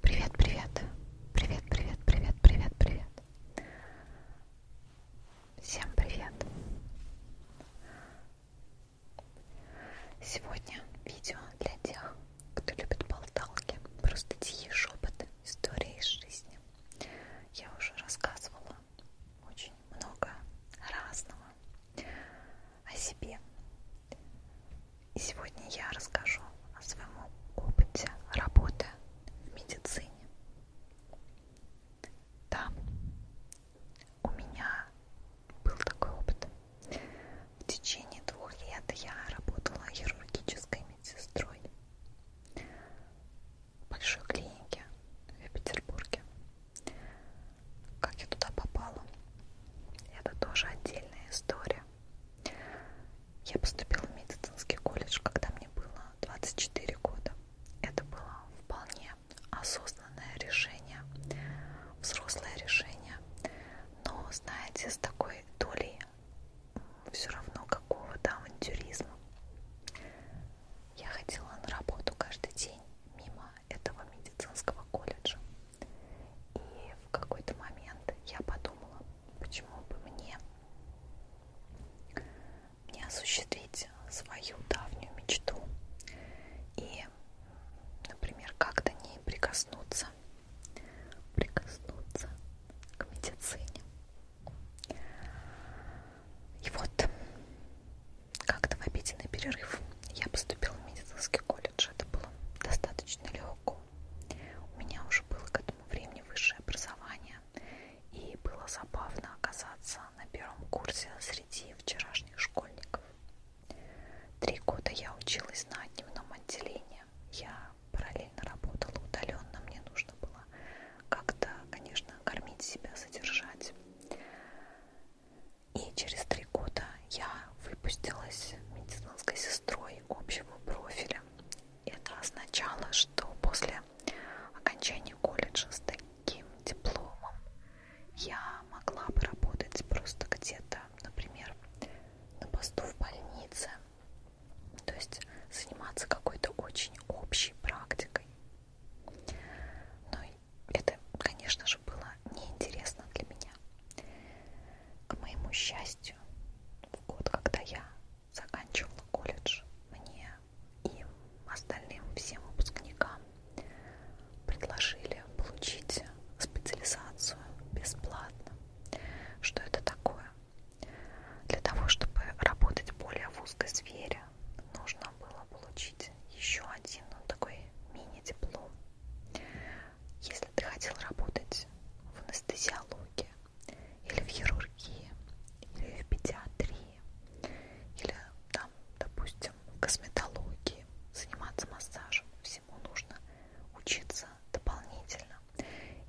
Привет, привет, привет, привет, привет, привет, привет. Всем привет. Сегодня видео для тех, кто любит болталки, просто тихие шепоты, истории из жизни. Я уже рассказывала очень много разного о себе. И сегодня я расскажу о своем опыте работы в медицине. Да, у меня был такой опыт. В течение двух лет я работала хирургической медсестрой в большой клинике в Петербурге. Как я туда попала, это тоже отдельная история. Я поступила в медицинский колледж, когда мне было 24 года. Это было вполне осознанное решение, взрослое решение, но, знаете, с такой долей все равно какого-то авантюризма. Я ходила на работу каждый день мимо этого медицинского колледжа. И в какой-то момент я подумала, почему бы мне не осуществить свою давнюю мечту и, например, как-то не прикоснуться, прикоснуться к медицине. И вот как-то в обеденный перерыв я поступила в медицинский колледж. Это было достаточно легко. У меня уже было к этому времени высшее образование, и было забавно оказаться на первом курсе среди вчерашних школьников. Три года я училась на дневном отделении. Я параллельно работала удаленно, мне нужно было как-то, конечно, кормить себя, содержать. И через три 3 года я выпустилась медицинской сестрой общего профиля. Это означало, что после окончания колледжа с таким дипломом я могла бы работать просто где-то, например, на посту в больнице, то есть заниматься какой-то очень общей практикой. Но это, конечно же, было неинтересна для меня. К моему счастью, в год, когда я заканчивала колледж, мне и остальным всем выпускникам предложили получить специализацию бесплатно. Что это такое? Для того, чтобы работать более в узкой сфере, нужно было получить еще один ну, такой мини-диплом. Если ты хотел работать в анестезиологии, или в хирургии, или в педиатрии, или там, допустим, в косметологии, заниматься массажем, всему нужно учиться дополнительно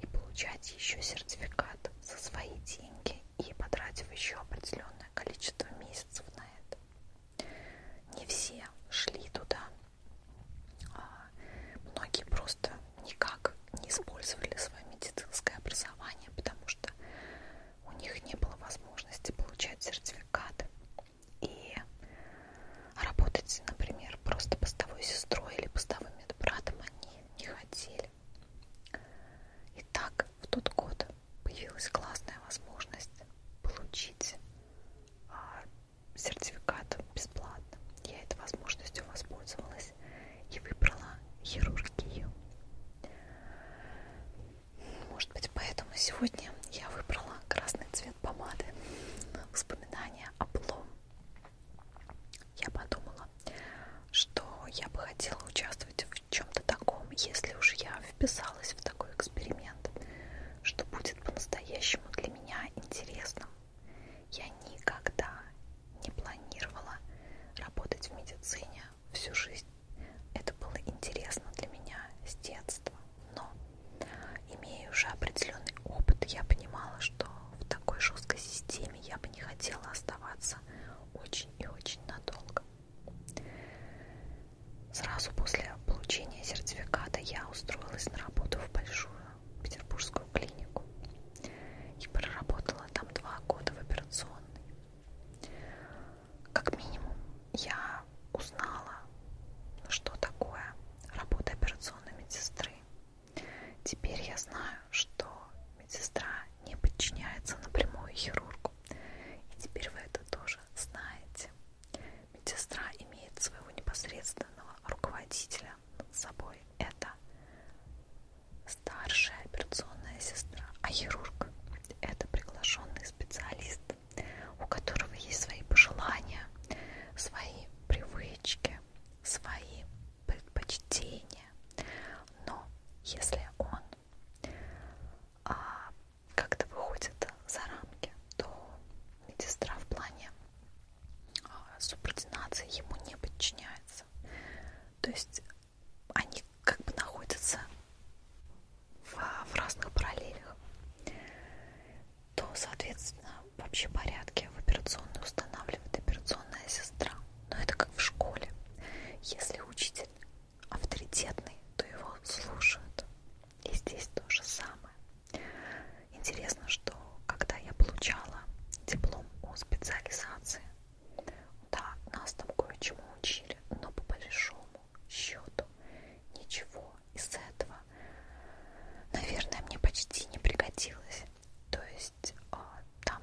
и получать еще сертификат за свои деньги и потратив еще определенное количество месяцев на это. Не все шли туда а, многие просто никак не использовали свое медицинское образование, потому что у них не было возможности получать сертификат и работать, например, просто постовой сестрой или постовым медбратом они не хотели. И так в тот год появилась классная возможность получить а, сертификат бесплатно. Я этой возможностью воспользовалась и выбрала хирургию. Может быть, поэтому сегодня я выбрала красный цвет помады. Воспоминания о плом. Я подумала, что я бы хотела участвовать в чем-то таком, если уж я вписалась в такой эксперимент, что будет по-настоящему для меня интересном. Я никогда не планировала работать в медицине всю жизнь. Это было интересно для меня с детства. Но, имея уже определенный опыт, я понимала, что в такой жесткой системе я бы не хотела оставаться очень и очень надолго. Сразу после получения сертификата я устроилась на работу в большую петербургскую клинику и проработала там два года в операционной. Как минимум, я узнала, что такое работа операционной медсестры. Теперь я знаю, что медсестра не подчиняется напрямую хирургу. И теперь вы это тоже знаете. Медсестра имеет своего непосредственного руководителя над собой. Это старшая операционная сестра, а хирург – это приглашенный специалист, у которого есть свои пожелания, свои привычки, свои предпочтения. Но если он а, как-то выходит за рамки, то Медсестра в плане а, субординации ему не подчиняется. То есть они как бы находятся в, в разных параллелях. То, соответственно, вообще порядке в операционной устанавливает операционная сестра. Но это как в школе. Если учитель авторитетный, то его слушают. И здесь то же самое. Интересно, что когда я получала диплом о специализации, да, нас там кое-чему учили, но по большому счету ничего из этого, наверное, мне почти не пригодилось. То есть а, там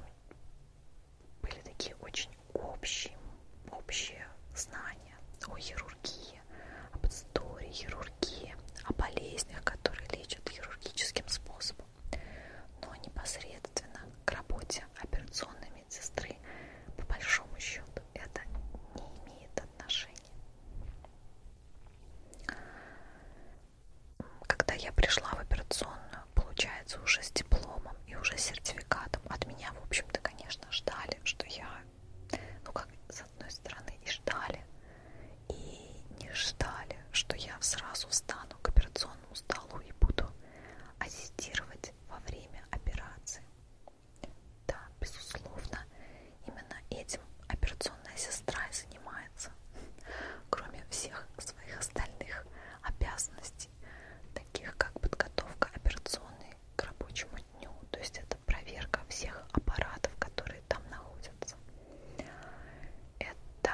были такие очень общие, общие знания о хирургии, хирургии, об истории хирургии, о болезнях, которые лечат хирургическим способом. Но непосредственно к работе операционной медсестры, по большому счету, это не имеет отношения. Когда я пришла в операционную, получается, уже с дипломом и уже с сертификатом, от меня, в общем-то, конечно, ждали, что я ну как с одной стороны и ждали, и не ждали, что я сразу встану к операционному столу и буду ассистировать во время операции. Да, безусловно, именно этим операционная сестра и занимается, кроме всех своих остальных обязанностей, таких как подготовка операционной к рабочему дню, то есть это проверка всех аппаратов, которые там находятся, месяца. Это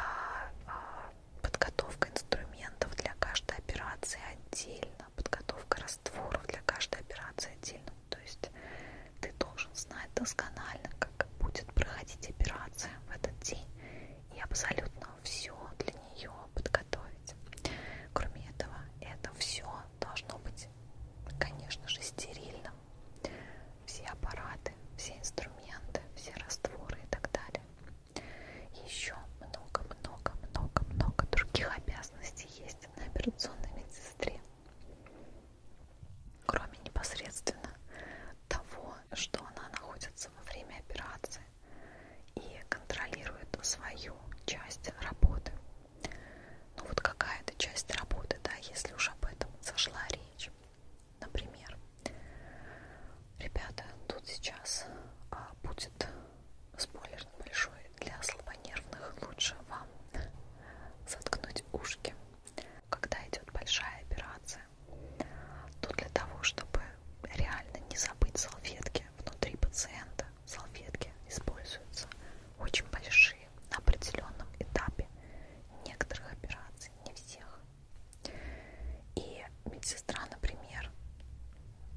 а, подготовка инструментов для каждой операции отдельно, подготовка растворов для каждой операции отдельно. То есть ты должен знать досконально, как будет проходить операция в этот день и абсолютно все для нее подготовить. Кроме этого, это все должно быть, конечно же, стерильно все аппараты, все инструменты, все растворы и так далее. Еще много-много-много-много других обязанностей есть на операционной медсестре. Кроме непосредственно того, что она находится во время операции и контролирует свою часть работы ну вот какая-то часть работы, да, если уж об этом зашла речь. Например, ребята, тут сейчас а, будет спойлер небольшой для слабонервных. Лучше вам заткнуть ушки, когда идет большая операция. То для того, чтобы реально не забыть салфетки внутри пациента, салфетки используются очень большие на определенном этапе некоторых операций, не всех. И медсестра, например,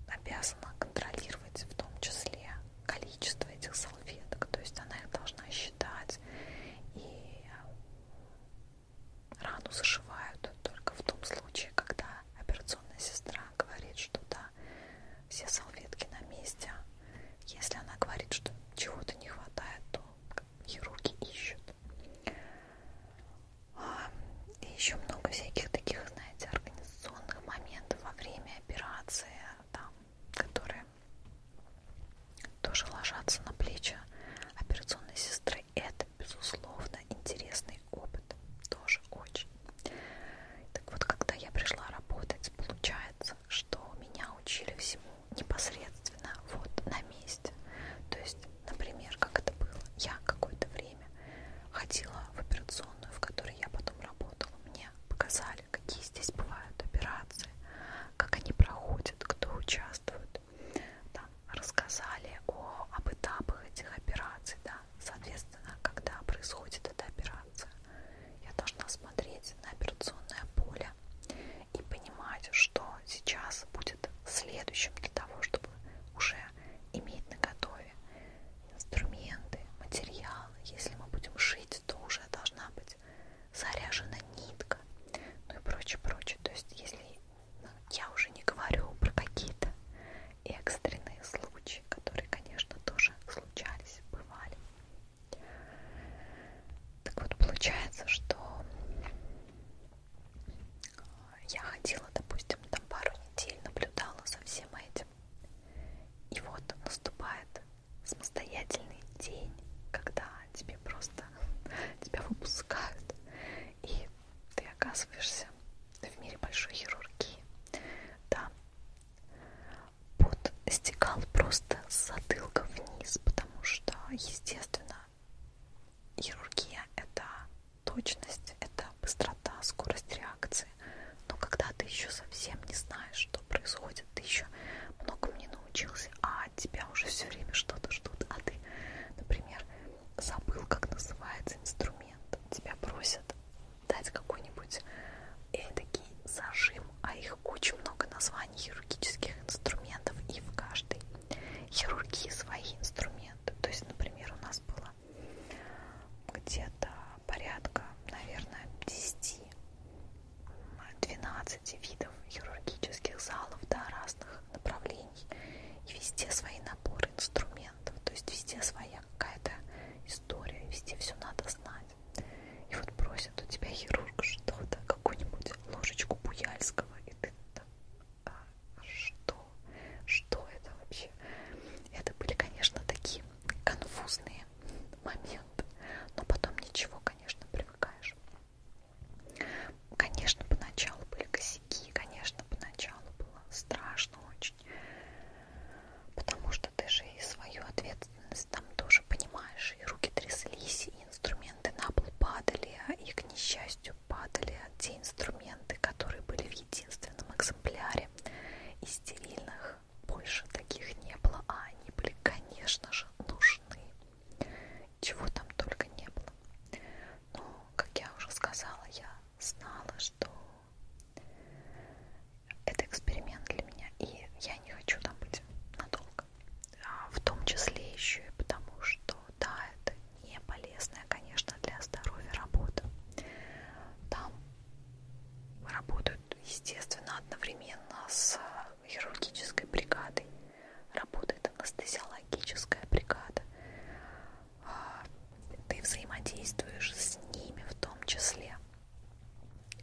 обязана контролировать в том числе количество этих салфеток, то есть она их должна считать, и рану зашивают только в том случае, когда операционная сестра говорит, что да, все салфетки на месте, если она говорит, что чего-то не хватает, то хирурги ищут. А, и еще много всяких таких, знаете, организационных моментов во время операции, там, которые тоже ложатся на плечи операционной сестры. Это, безусловно, интересный опыт. Тоже очень. Так вот, когда я пришла работать, получается, что меня учили всему непосредственно вот на месте. То есть, например, как это было, я какое-то время ходила в операционную, в которой я потом работала. Мне показали, какие здесь бывают операции, как они проходят, кто участвует. Там рассказали о, об этапах этих операций, да, соответственно, когда происходит эта операция. Я должна смотреть на операционное поле себя и понимать, что сейчас будет следующим для того, чтобы уже иметь на готове инструменты, материалы. Если мы будем шить, то уже должна быть заряжена нитка, ну и прочее, прочее. То есть, если я уже не говорю про какие-то экстренные случаи, которые, конечно, тоже случались, бывали. Так вот, получается, что я ходила, допустим, там пару недель, наблюдала за всем этим. И вот наступает самостоятельный день, когда тебе просто тебя выпускают, и ты оказываешься в мире большой хирургии. Да, пот стекал просто с затылка вниз, потому что, естественно, хирургия — это точность, это быстрота, скорость реакции. Но когда ты еще совсем не знаешь, что происходит, ты еще многому не научился, а от тебя уже все время что-то ждут, а ты, например, забыл, как называется инструмент, тебя просят дать какой-нибудь эдакий зажим, а их куча много названий хирургических инструментов, и в каждой хирургии свои инструменты. То есть, например, у нас было где-то порядка, наверное, 10 12 видов хирургических залов, да, разных направлений. И везде свои наборы инструментов, то есть везде своя какая-то история, везде все надо знать. И вот просит у тебя хирург что-то, какую-нибудь ложечку Буяльского, и ты там, а, что? Что это вообще? Это были, конечно, такие конфузные моменты, но потом ничего, конечно, привыкаешь. Конечно, поначалу были косяки, конечно, поначалу было страшно очень, потому что ты же и свою ответственность ответственность, там тоже, понимаешь, и руки тряслись, и инструменты на пол падали, и, к несчастью, падали те инструменты, которые были в единственном экземпляре. И стерильных больше таких не было, а они были, конечно же, нужны. Чего там только не было. Но, как я уже сказала, я знала, что это эксперимент для меня, и я не хочу там быть надолго мозг. А, в том числе еще и потому, что да, это не полезная, конечно, для здоровья работа. Там работают, естественно, одновременно с а, хирургической бригадой, работает анестезиологическая бригада. А, ты взаимодействуешь с ними в том числе.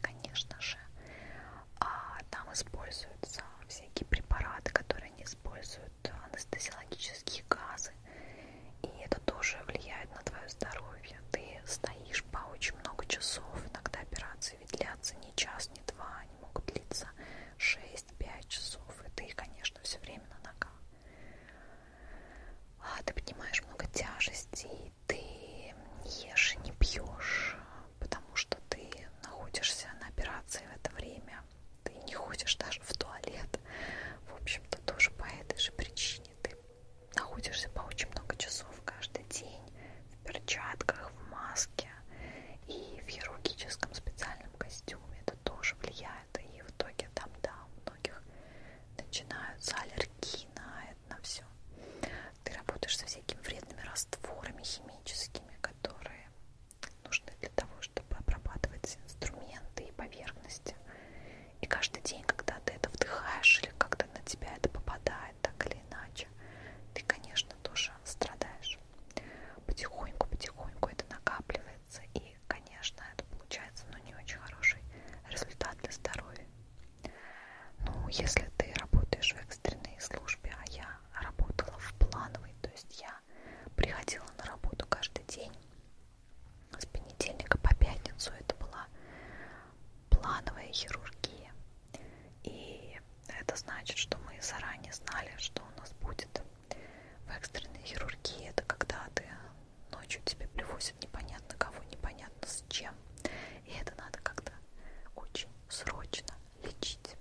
Конечно же, а там используются всякие препараты, которые не используют анестезиологические газы, и это тоже влияет на твое здоровье. Ты стоишь по очень много часов, иногда операции ведь длятся не час, не два, они могут длиться 6-5 часов, и ты, конечно, все время на ногах. А ты поднимаешь много тяжестей, ты не ешь, не пьешь, потому что ты находишься на операции в это время, ты не ходишь даже в туалет, в общем-то тоже по этой же причине ты находишься по очень много часов каждый день в перчатках, в маске и в хирургическом специальном костюме, это тоже влияет, и в итоге там, да, у многих начинаются аллергии на это, на все. Ты работаешь со всякими вредными растворами, химическими, техническими, которые нужны для того, чтобы обрабатывать инструменты и поверхности. И каждый день, когда ты это вдыхаешь или когда на тебя это попадает так или иначе, ты, конечно, тоже страдаешь. Потихоньку-потихоньку это накапливается, и, конечно, это получается, но ну, не очень хороший результат для здоровья. Ну, если ты работаешь в экстренной службе, а я работала в плановой, то есть я приходила на работу каждый день с понедельника по пятницу, это была плановая хирургия, и это значит, что мы заранее знали, что у нас будет в экстренной хирургии, это когда ты ночью тебе привозят непонятно кого, непонятно с чем, и это надо как-то очень срочно лечить.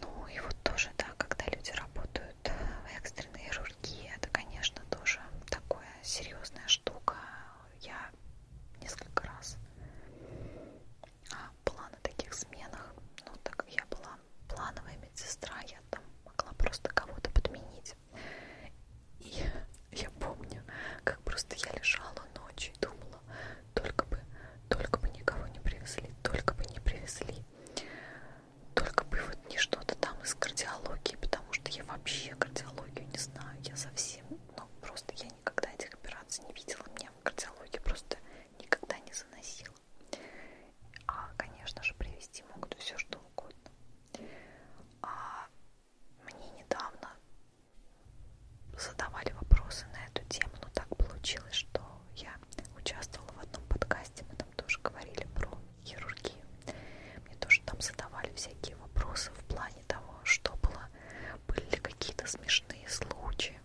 Ну и вот тоже, да, когда люди работают в экстренной хирургии, это, конечно, тоже такая серьезная штука. Я несколько раз а, была на таких сменах, ну так я была плановая медсестра, я там могла просто кого-то подменить. И я помню, как просто я лежала ночью и думала, только бы, только бы никого не привезли, только бы не привезли. Только бы вот не что-то там из кардиологии, потому что я вообще кардиологию не знаю, я совсем, ну просто я никогда этих операций не видела, меня в кардиологии просто никогда не заносила. А, конечно же, привезти могут все что угодно. А мне недавно задавали вопросы на эту тему, но так получилось, что я участвовала в одном подкасте, мы там тоже говорили про хирургию. Мне тоже там задавали всякие вопросы в плане того, что было, были ли какие-то смешные случаи.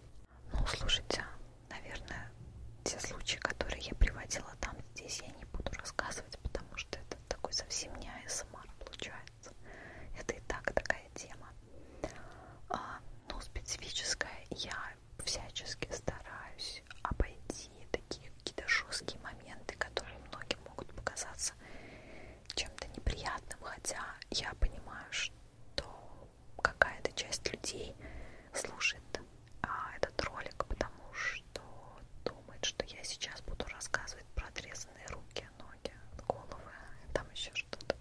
Ну, слушайте, наверное, те случаи, которые я приводила там, здесь я не буду рассказывать, потому что это такой совсем не АСМР получается нравится. Это и так такая тема. А, ну, специфическая. Я всячески стараюсь обойти такие какие-то жесткие моменты, которые многим могут показаться чем-то неприятным, хотя я понимаю, что какая-то часть людей слушает а, этот ролик, потому что думает, что я сейчас буду рассказывать про отрезанные руки, ноги, головы, там еще что-то.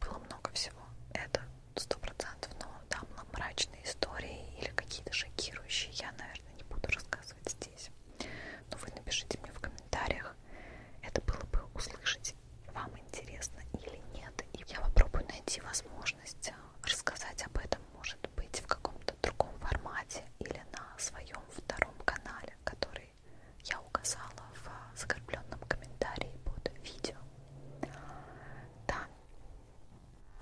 Было много всего. Это сто процентов, но там да, мрачные истории или какие-то шокирующие. Я, наверное, не буду рассказывать здесь. Но вы напишите мне в комментариях. Это было бы услышать, вам интересно или нет. И я попробую найти возможность э, рассказать об этом, может быть, в каком-то другом формате или на своем втором канале, который который я указала в закрепленном комментарии под видео. Да,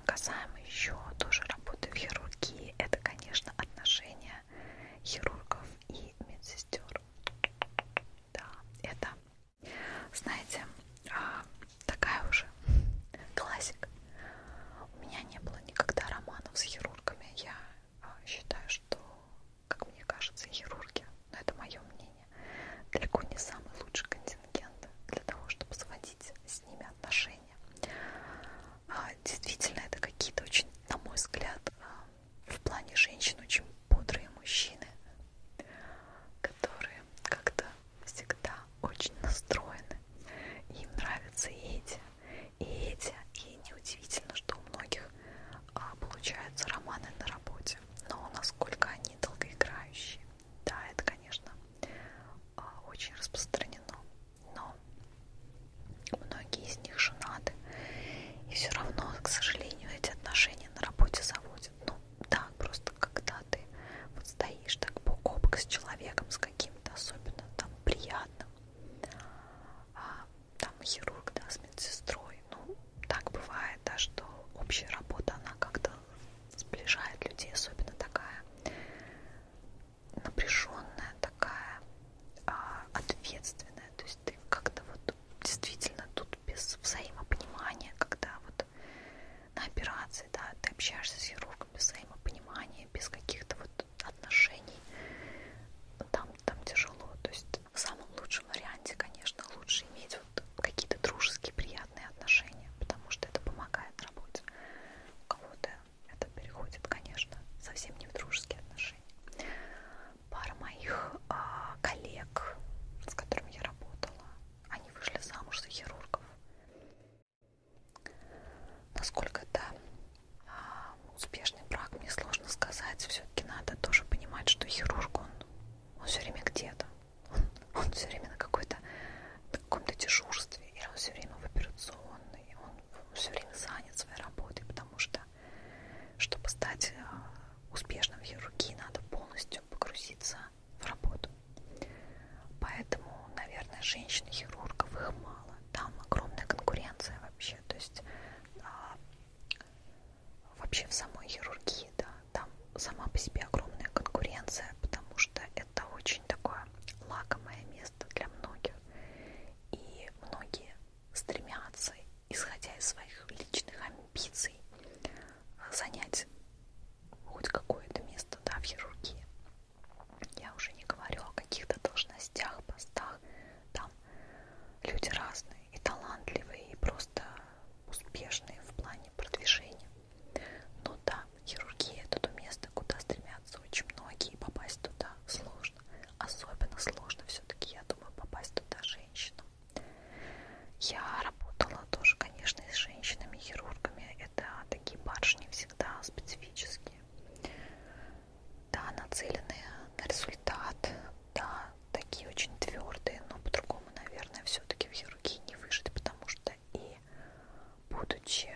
касаемо еще тоже работы в хирургии, это, конечно, отношения хирургов и медсестер. Да, это, знаете, а, такая уже классика. У меня не было никогда романов с хирургами. Я а, считаю, что, как мне кажется, хирурги, но ну, это мое мнение, далеко не самый лучший контингент для того, чтобы сводить с ними отношения. А, действительно, это какие-то очень, на мой взгляд, а, в плане женщин очень бодрые мужчины, которые как-то всегда очень настроены. Им нравятся эти, и эти, и неудивительно, что у многих а, получаются романы на работе. Но насколько они долгоиграющие, да, это, конечно, а, очень распространено. Но многие из них женаты. И все равно, к сожалению, эти отношения на работе заводят. Ну, да, просто когда ты вот стоишь так бок о бок с человеком, с каким-то особенно там приятным, а, там хирург, да, с медсестрой. Ну, так бывает, да, что общая работа, она как-то сближает людей, особенно такая напряженная, такая а, ответственная. То есть ты как-то вот действительно тут без взаимопонимания, когда вот на операции, да, ты общаешься с хирургом без взаимопонимания, без каких-то вот отношений, там, там тяжело. То есть в самом лучшем варианте, конечно, лучше иметь вот какие-то дружеские, приятные отношения, потому что это помогает работе. У кого-то это переходит, конечно, совсем не в дружеские отношения. Пара моих э, коллег, с которыми я работала, они вышли замуж за хирургов. Насколько это успешный брак, мне сложно сказать. Все-таки надо тоже понимать, что хирург, он, он все время где-то. Он, он все время на какой-то каком-то дежурстве, или он все время в операционной, он все время занят своей работой, потому что, чтобы стать э, успешным в хирургии, надо полностью погрузиться в работу. Поэтому, наверное, женщин-хирургов их мало. Там огромная конкуренция вообще. То есть а, вообще в самой хирургии, да, там сама по себе огромная конкуренция, потому что это очень такое лакомое место для многих, и многие стремятся, исходя из своих личных амбиций, занять хоть какое-то место, да, в хирургии. Я уже не говорю о каких-то должностях, постах, там люди разные, и талантливые, и просто успешные в плане продвижения. Но да, хирургия это то место, куда стремятся очень многие, и попасть туда сложно. Особенно сложно все-таки, я думаю, попасть туда женщинам. Я работала тоже, конечно, с женщинами-хирургами. Это такие барышни всегда специфические да, нацеленные на результат, да, такие очень твердые, но по-другому, наверное, все-таки в хирургии не выжить, потому что и будучи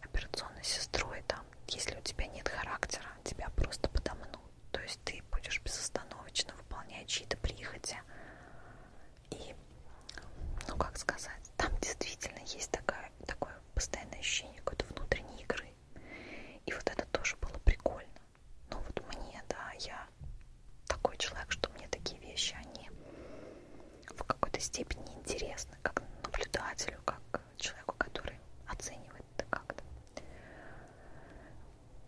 операционной сестрой, там, если у тебя нет характера, тебя просто подомнут. То есть ты будешь безостановочно выполнять чьи-то прихоти. И, ну как сказать, там действительно есть такая, такое постоянное ощущение какой-то внутренней игры. И вот это тоже было прикольно. Но ну вот мне, да, я такой человек, что мне такие вещи, они в какой-то степени интересны, как наблюдателю, как человеку, который оценивает это как-то.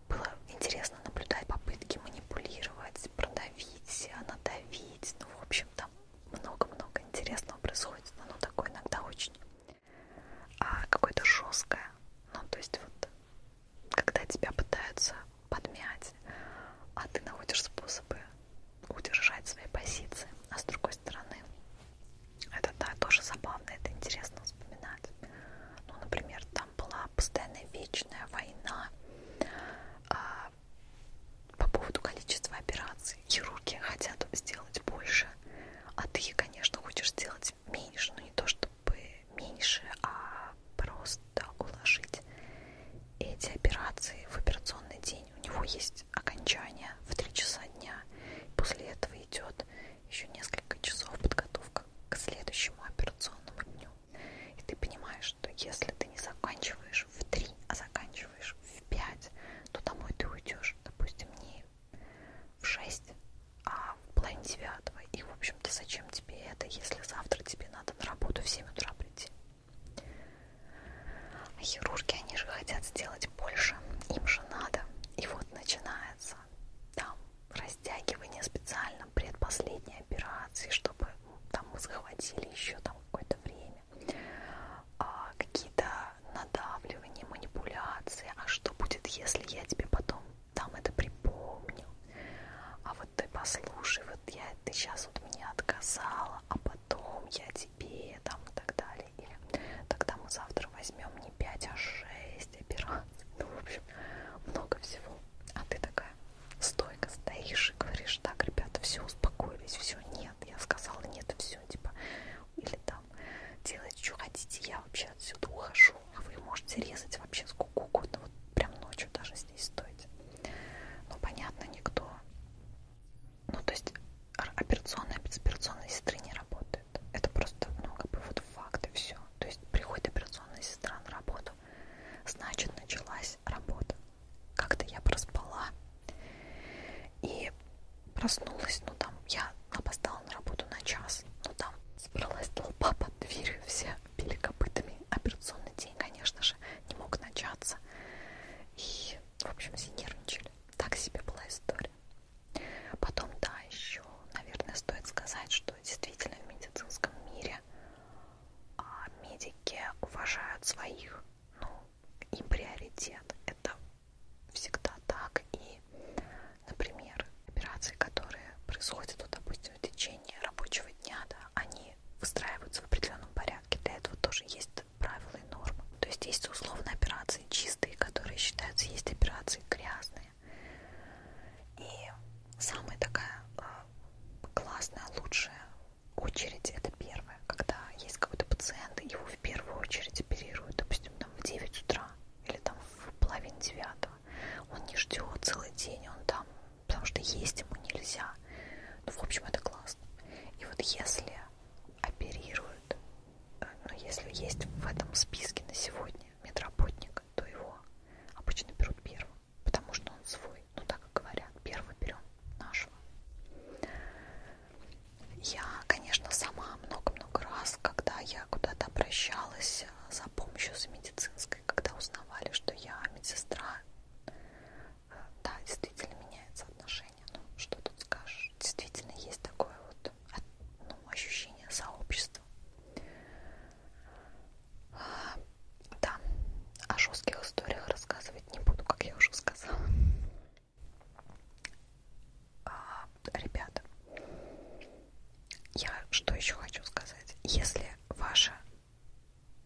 Было интересно наблюдать попытки манипулировать, продавить, надавить. Ну, в общем, там много-много интересного происходит. Оно ну, такое иногда очень а какое-то жесткое. Ну, то есть вот, когда тебя пытаются подмять, а ты находишь способы удержать свои позиции. А с другой стороны, это да, тоже забавно, это интересно вспоминать. Ну, например, там была постоянная вечная война а, по поводу количества операций. Хирурги хотят сделать больше, больше. А ты, конечно, хочешь сделать меньше, но не то чтобы меньше, а просто уложить эти операции в операционный день. У него есть окончание в 3 часа дня. После этого идет еще несколько часов подготовка к следующему операционному дню. И ты понимаешь, что если ты не заканчиваешь в 3, а заканчиваешь в 5, то домой ты уйдешь, допустим, не в 6, а в половине 9. И, в общем-то, зачем тебе это, если завтра тебе надо на работу в 7 утра прийти? А хирурги, они же хотят сделать больше, им же надо. И вот начинается там растягивание специально предпоследней операции, чтобы там мы захватили еще там какое-то время. А, Какие-то надавливание, манипуляции. А что будет, если я тебе потом там это припомню? А вот ты послушай, вот я ты сейчас вот мне отказала, а потом я тебе там и так далее. Или тогда мы завтра возьмем не 5, а 6 операций. Ну, в общем, много всего. А ты такая стойко стоишь и говоришь, так, ребята, все, успокоились, все, нет, я сказала, нет, все, типа, или да, там. Делайте, что хотите. Я вообще отсюда ухожу. А вы можете резать вообще сколько угодно. Вот прям ночью даже здесь стойте. Ну, понятно, никто. Ну, то есть операционная, операционная сестры не работает. Это просто, ну, как бы вот факт и все. То есть приходит операционная сестра на работу. Значит, началась работа. Как-то я проспала и проснулась, ну там я опоздала на работу на час, но там собралась толпа под дверью, все били копытами. Операционный день, конечно же, не мог начаться. И, в общем, все нервничали. Так себе была история. Потом, да, еще, наверное, стоит сказать, что действительно в медицинском мире а, медики уважают своих, ну, им приоритет. Это всегда так. И, например, операции, которые происходят, вот, допустим, в течение рабочего дня, да, они выстраиваются в определенном порядке. Для этого тоже есть правила и нормы. То есть есть условно операции чистые, которые считаются, есть операции грязные. И самая такая э, классная, лучшая очередь это первая, когда есть какой-то пациент, его в первую очередь оперируют, допустим, там в 9 утра или там в половине девятого. Он не ждет целый день, он там, потому что есть ему нельзя. Ну, в общем, это классно. И вот если оперируют, э, ну, если есть в этом списке на сегодня медработник, то его обычно берут первым, потому что он свой. Ну, так и говорят, первый берем нашего. Я, конечно, сама много-много раз, когда я куда-то обращалась э, за помощью с медицинской, когда узнавали, что я медсестра, э, да, действительно меняется отношение. Ну, что тут скажешь? Действительно есть такое вот ну, ощущение сообщества. Э, да, о жестких историях рассказывать не буду, как я уже сказала. А, ребята, я что еще хочу сказать? Если ваша,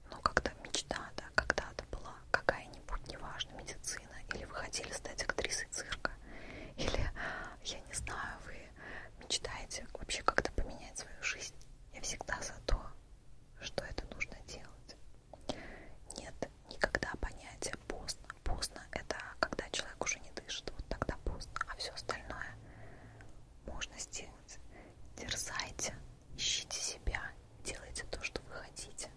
ну, когда мечта, да, когда-то была какая-нибудь, неважно, медицина, или вы хотели стать актрисой цирка, или, я не знаю, вы мечтаете вообще как-то поменять свою жизнь, я всегда за то, что это нужно делать. Нет никогда понятия знаете, поздно. Поздно это когда человек уже не дышит, вот тогда поздно. А все остальное можно сделать. Дерзайте, ищите себя, делайте то, что вы хотите.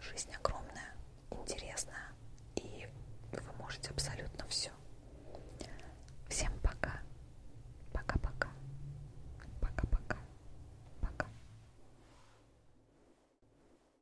Жизнь огромная, интересная, и вы можете абсолютно все. Всем пока. Пока-пока. Пока-пока. Пока.